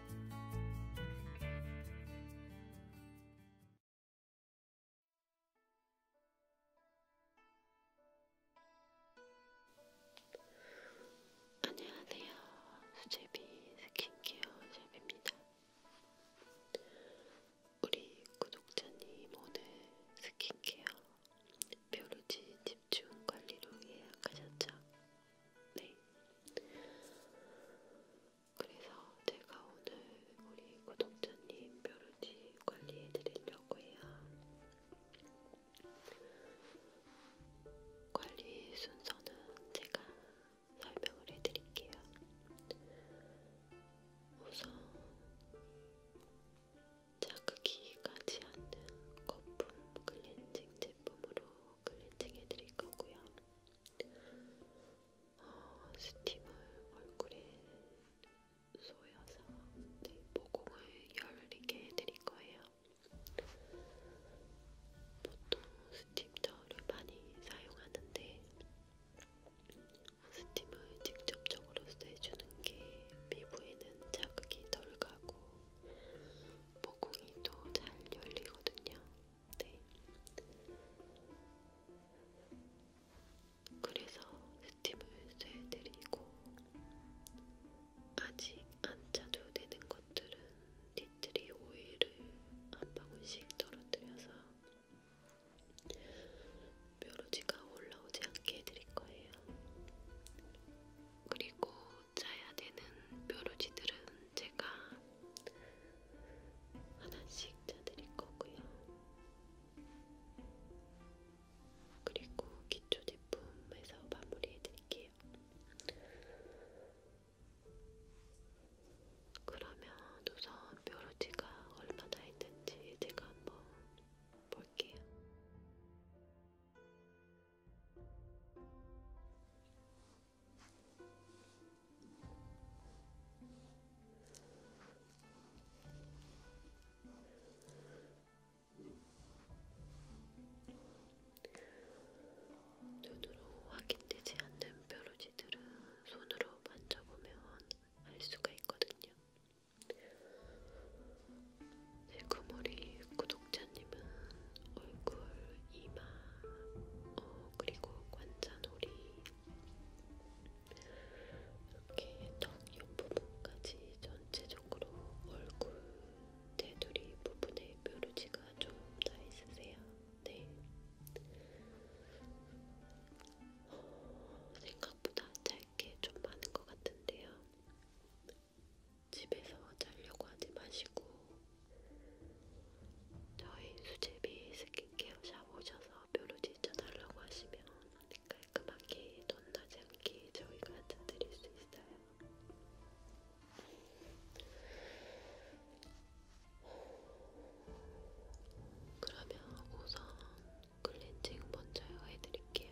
안녕하세요. 수제비 스킨케어 샵입니다. 우리 구독자님 오늘 스킨케어 뾰루지 집중 관리로 예약하셨죠? 네. 그래서 제가 오늘 우리 구독자님 뾰루지 관리해 드리려고 해요. 관리 순서는 제가 설명을 해 드릴게요. 우선 자극이 가지 않는 거품 클렌징 제품으로 글리팅 그 해드릴 거고요. 어, 스팀을 얼굴에 쏘여서 네, 모공을 열리게 해드릴 거예요. 보통 스팀 저를 많이 사용하는데 스팀을 직접적으로 쐬주는 게 피부에는 자극이 덜 가고 모공이도 잘 열리거든요. 네. 그래서 스팀을 쐬드리고 아직 안 짜도 되는 것들은 니트리 오일을 한 방울씩 떨어뜨려서 뾰루지가 올라오지 않게 해드릴 거예요. 그리고 짜야 되는 뾰루지들은 제가 하나씩 짜드릴 거고요. 그리고 기초 제품에서 마무리해드릴게요. 그러면 우선 뾰루지가 얼마나 있는지 제가 한번 볼게요. 눈으로 확인되지 않는 뾰루지들은 손으로 만져보면 알 수가 있거든요. 지금 우리 구독자님은 얼굴, 이마, 어, 그리고 관자놀이 이렇게 턱 옆부분까지 전체적으로 얼굴, 테두리 부분에 뾰루지가 좀다 있으세요. 네. 어, 생각보다 짧게 좀 많은 것 같은데요. 집에서 자려고 하지 마시고 저희 수제비 스킨케어 샵 오셔서 뾰루지 쪄달라고 하시면 깔끔하게 돈나지 않게 저희가 짜드릴 수 있어요. 그러면 우선 클렌징 먼저 해드릴게요.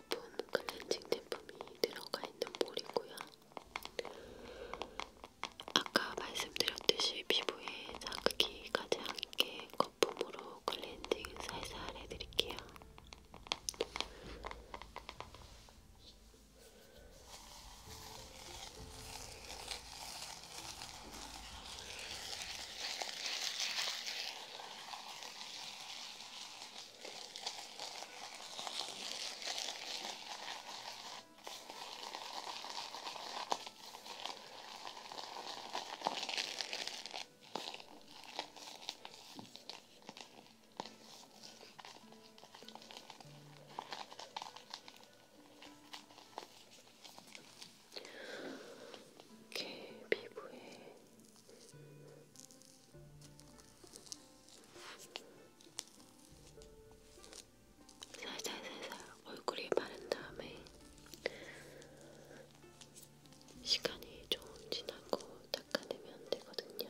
거품 클렌징 제품이 들어가 있는 볼이고요. 아까 말씀드렸듯이 피부에 자극이 가지 않게 거품으로 클렌징 살살 해드릴게요. 이렇게 피부에 살살살살 얼굴에 바른 다음에 시간이 좀 지나고 닦아내면 되거든요.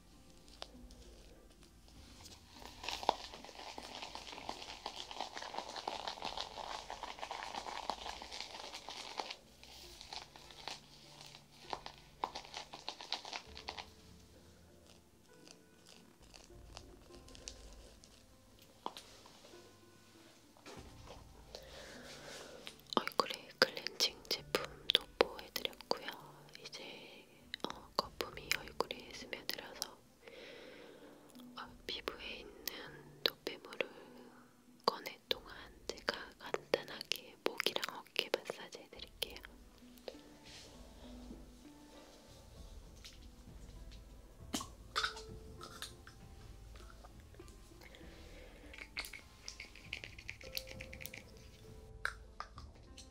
얼굴에 클렌징 제품도 보여드렸고요. 이제 어, 거품이 얼굴에 스며들어서 어, 피부에 있는 노폐물을 꺼낼 동안 제가 간단하게 목이랑 어깨 마사지 해드릴게요.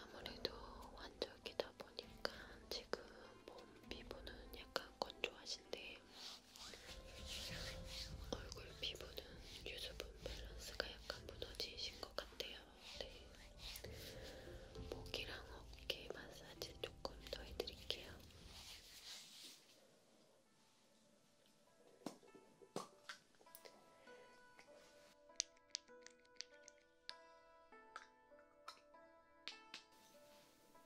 아무래도 완전기다 보니까 지금 몸 피부는 약간 건조하신데 얼굴 피부는 유수분 밸런스가 약간 무너지신 것 같아요. 네. 목이랑 어깨 마사지 조금 더 해드릴게요.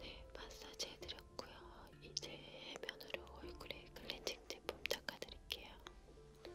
네, 마사지 해드렸고요. 이제 해면으로 얼굴에 클렌징 제품 닦아드릴게요. 네,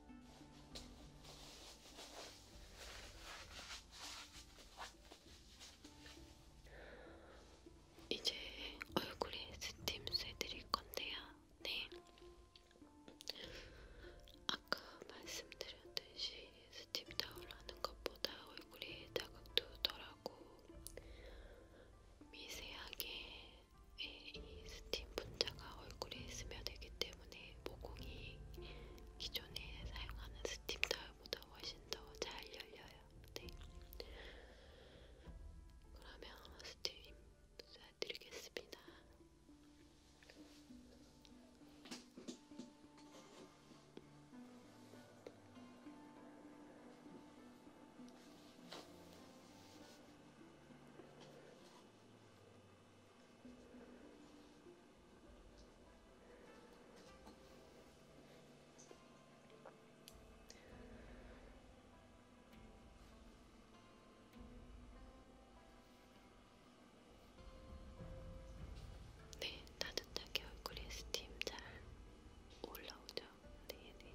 이제 얼굴에 스팀 쐬드릴 건데요. 네. 아까 말씀드렸듯이 스팀 타올 하는 것보다 얼굴에 자극도 덜하고 미세하게 이 스팀 분자가 얼굴에 스며들기 때문에 모공이 기존에 사용하는 스팀 타월보다 훨씬 더 잘 열려요. 네. 그러면 스팀 쏴드리겠습니다. 네, 따뜻하게 얼굴에 스팀 잘 올라오죠? 네, 네.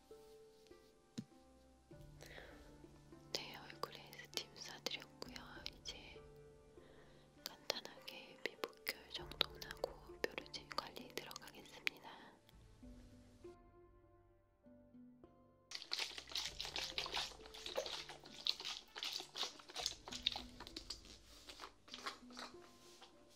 제 네, 얼굴에 스팀 싸드렸고요. 이제 간단하게 피부결 정돈하고 뾰루지 관리 들어가겠습니다.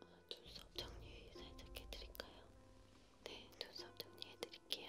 아, 눈썹 정리 살짝 해드릴까요? 네, 눈썹 정리해드릴게요.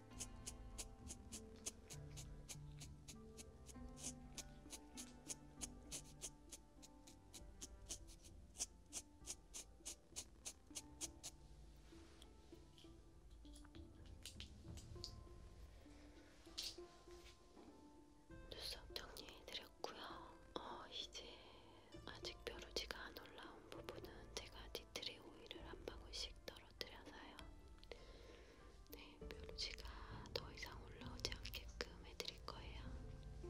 눈썹 정리해드렸고요. 어, 이제 아직 뾰루지가 안 올라온 부분은 제가 뒤 티트리 오일을 한 방울씩 떨어뜨려서요. 네, 뾰루지가 더 이상 올라오지 않게끔 해드릴 거예요. 네,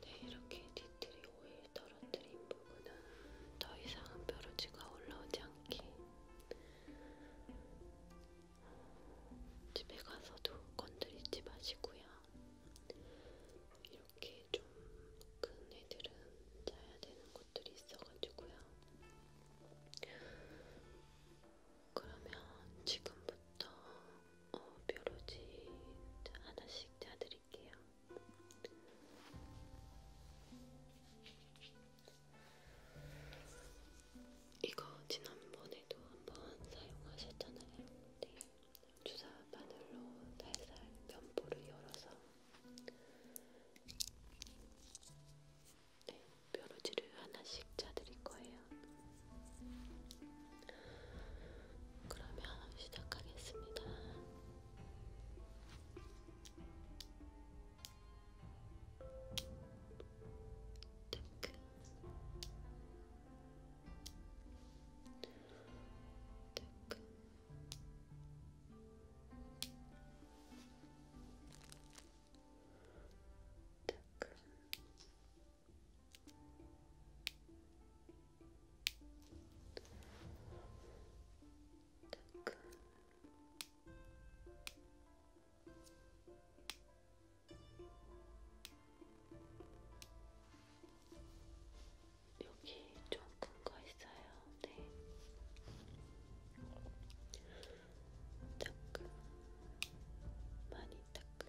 네, 이렇게 니트리 오일 떨어뜨린 부분은 더 이상은 뾰루지가 올라오지 않게 집에 가서도 건드리지 마시고요. 이렇게 좀 큰 애들은 짜야 되는 것들이 있어가지고요. 그러면 지금부터 어, 뾰루지 하나씩 짜드릴게요. 이거 지난번에도 한번 사용하셨잖아요. 네. 주사 바늘로 살살 면포를 열어서 네. 뾰루지를 하나씩 짜드릴 거예요. 그러면 시작하겠습니다. 테크 테크 테크 여기 좀 큰 거 있어요. 네. 따끔 많이 따끔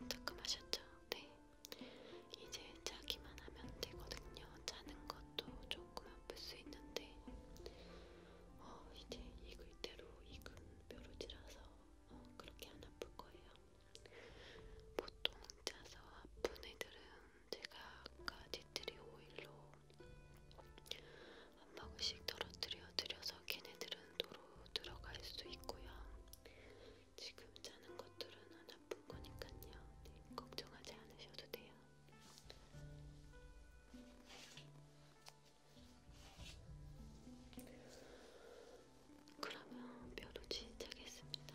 음. 따끔하셨죠? 네. 이제 자기만 하면 되거든요. 자는 것도 조금 아플 수 있는데, 어, 이제 익을 대로 익은 뾰루지라서 어, 그렇게 안 아플 거예요. 보통 자서 아픈 애들은 제가 아까 디트리 오일로 한 방울씩 떨어뜨려 드려서 걔네들은 도로 들어갈 수 있고요. 지금 자는 것들은 안 아픈 거니까요. 네, 걱정하지 않으셔도 돼요. 그러면 뼈로 시작하겠습니다.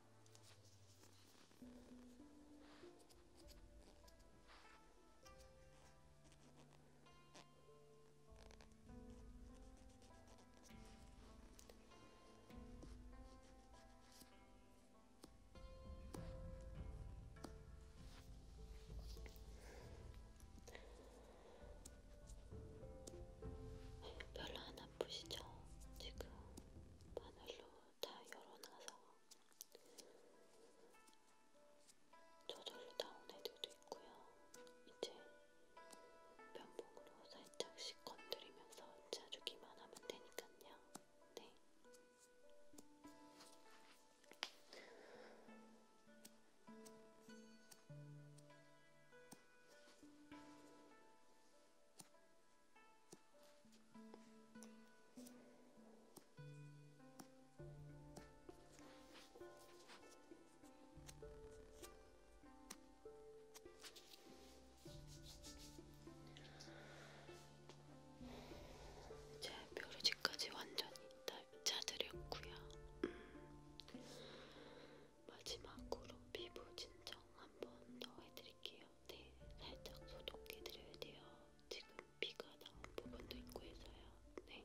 별로 안 아프시죠? 지금 바늘로 다 열어놔서 저절로 나온 애들도 있고요. 이제 면봉으로 살짝씩 건드리면서 짜주기만 하면 되니까요. 네. 제 뾰루지까지 완전히 짜드렸구요. 음. 마지막으로 피부 진정 한 번 더 해드릴게요. 네, 살짝 소독해드려야 돼요. 지금 비가 나온 부분도 있고 해서요. 네. 네,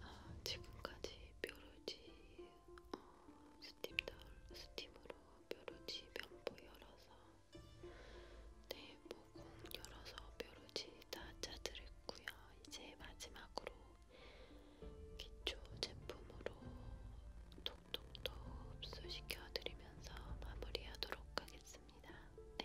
아, 지금까지 뾰루지 어, 스팀 덜, 스팀으로 뾰루지 면보 열어서 네모공 열어서 뾰루지 다 짜드렸고요. 이제 마지막으로 기초 제품으로 톡톡톡 흡수시켜드리면서 마무리하도록 하겠습니다. 네.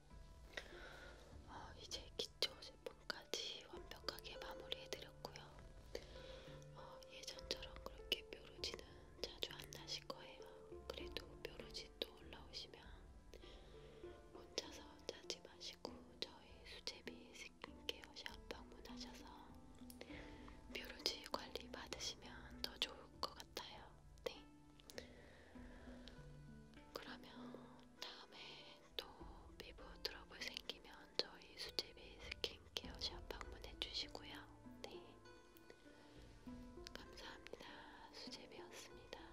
어, 이제 기초 제품까지 완벽하게 마무리해드렸고요. 어, 예전처럼 그렇게 뾰루지는 자주 안 나실 거예요. 그래도 뾰루지 또 올라오시면 혼자서 짜지 마시고 저희 수제비 스킨케어 샵 방문하셔서 뾰루지 관리 받으시면 더 좋을 것 같아요. 네. 그러면 다음에 또 피부 트러블 생기면 저희 수제비 스킨케어 샵 방문해 주시고요. 네. 감사합니다. 수제비였습니다.